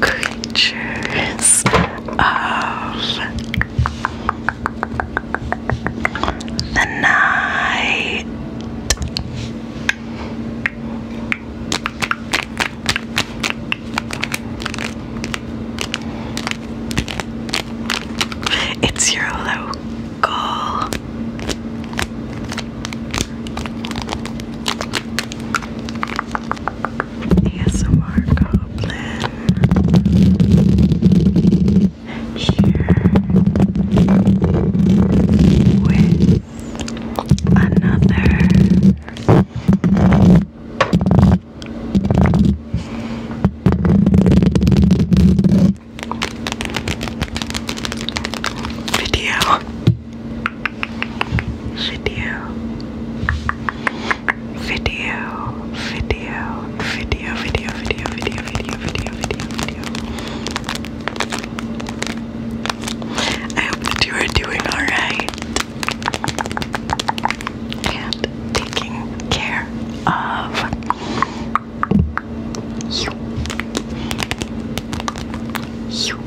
Creatures of the night. It's your local ASMR Goblin. Here with another. Video video, video, video, video, video, video, video, video, video, video, I hope that you are doing alright and taking care of you. You.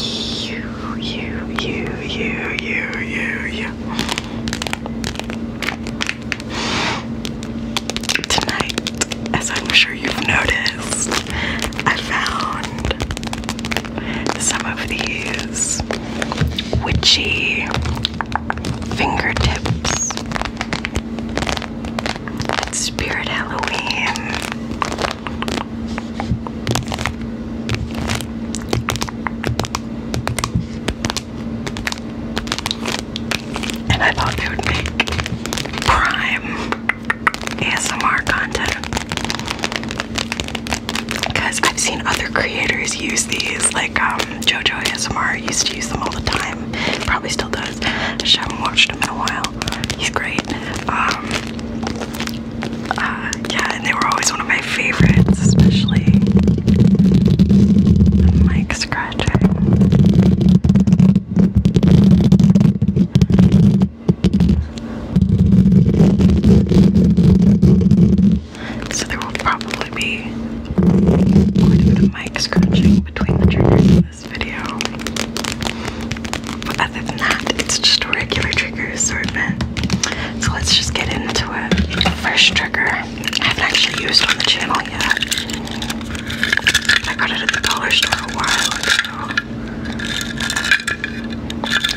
You, you, you, you, you, you, you. Tonight, as I'm sure you've noticed, I found some of these witchy fingertips. Spirit Halloween. And I thought they would make prime ASMR content. Because I've seen other creators use these, like um, JoJo ASMR used to use them all the time. Probably still does. I just haven't watched them in a while. He's great. Um, uh, yeah, and they were always one of my favorites, especially the mic scratching. So there will probably be quite a bit of mic scratching between the triggers this video. other than that, it's just a regular trigger assortment. So let's just get into it. First trigger I haven't actually used on the channel yet. I got it at the dollar store a while ago.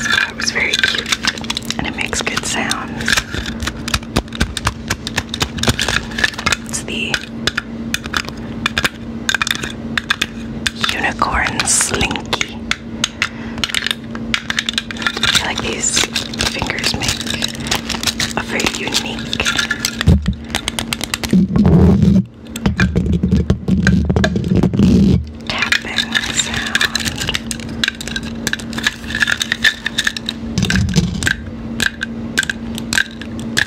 So it was very cute and it makes good sounds. It's the Unicorn Slinky. like these fingers make a very unique tapping sound.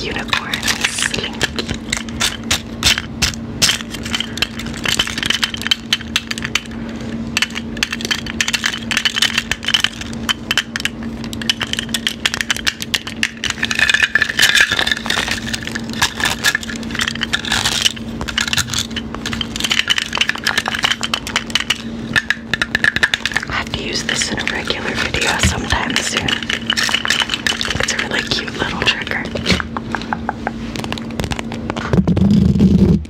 Unicorn Slinky. I have to use this in a regular video sometime soon. It's a really cute little trigger.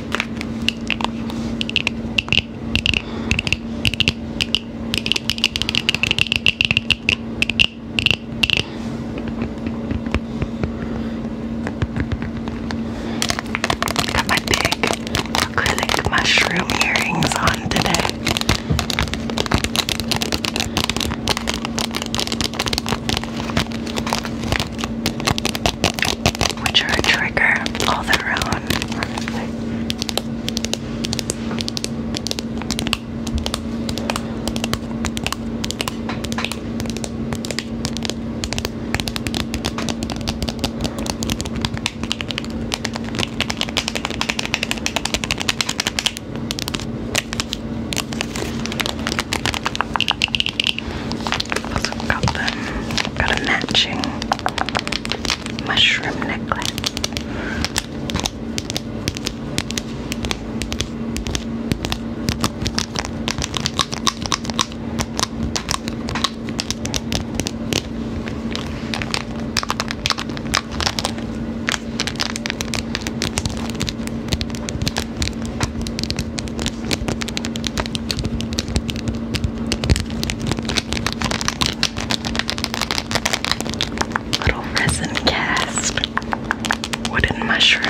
Got my big acrylic mushroom earrings on today which are a trigger all their own, honestly. Also got them. Got a matching mushroom necklace. Little resin cast wooden mushroom.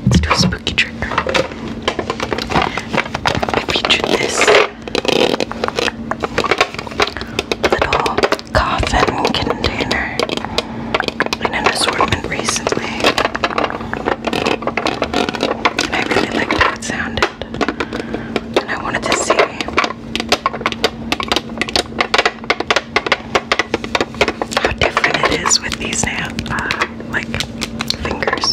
Let's do a spooky trick. I featured this little coffin container in an assortment recently. And I really liked how it sounded. And I wanted to see how different it is with these now like fingers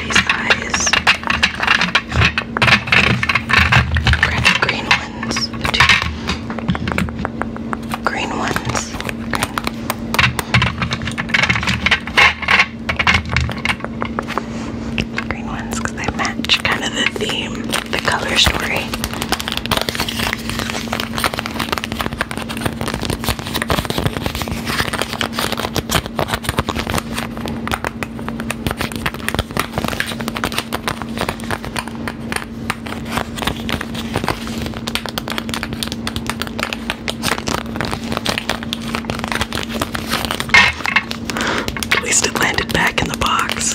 green ones. green ones. green ones because they match kind of the theme, the color story. At least it landed back in the box.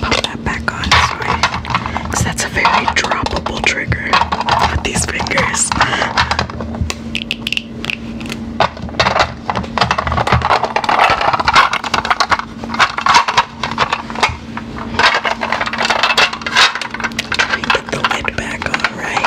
pop that back on, sorry. that's a very droppable trigger with these fingers. Try the lid back on, right?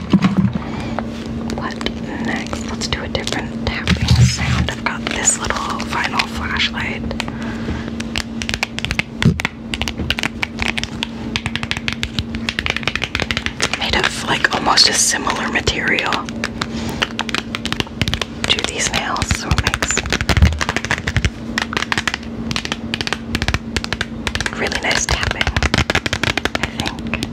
What next? Let's do a different tapping sound. I've got this little final flashlight. Made of like almost a similar material to these nails, so it makes really nice tapping, I think.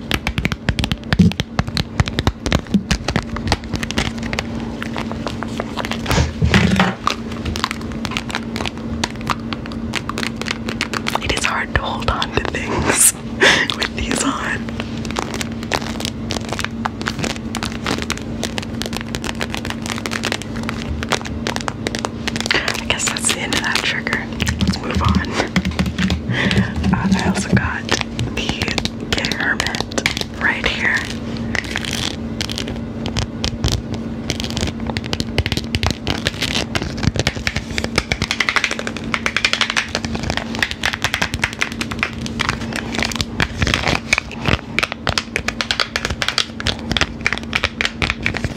It is hard to hold on to things with these on. I guess that's the end of that trigger. Let's move on. I also got the Get right here.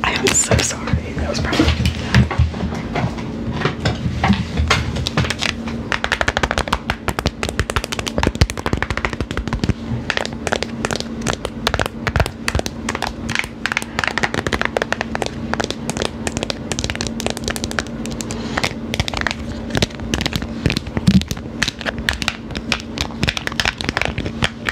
I am so sorry. That was probably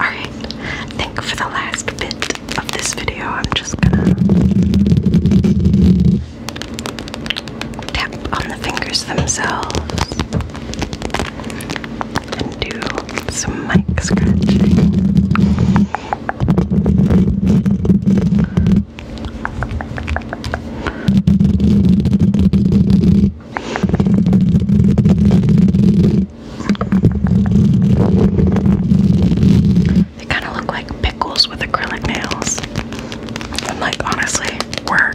Alright, think for the last bit of this video, I'm just gonna tap on the fingers themselves and do some mic scratching. They kind of look like pickles with acrylic nails. like, honestly, work.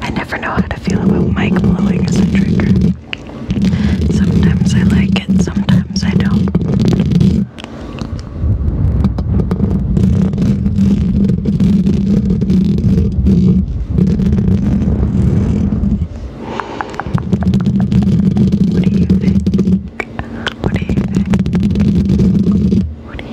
I never know how to feel about mic blowing a trigger. Sometimes I like it, sometimes I don't. What do you think? What do you think? What do you think? What do you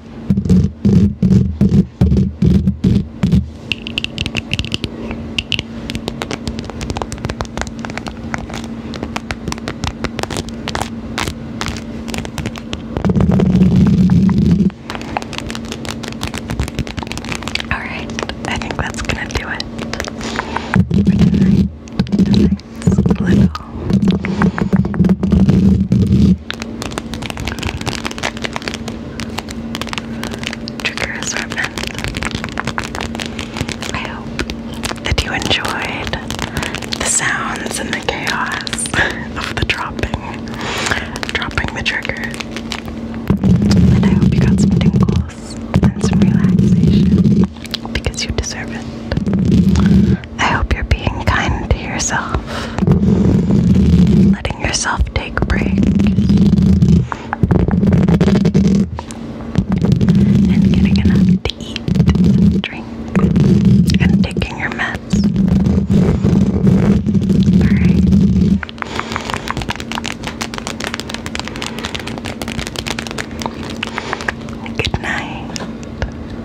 All right, I think that's gonna do it. Trigger assortment. I hope that you enjoyed the sounds and the chaos of the dropping, dropping the trigger. And I hope you got some tingles and some relaxation because you deserve it. I hope you're being kind to yourself, letting yourself take breaks, and getting enough to eat drink, and taking your meds. Alright. Good night.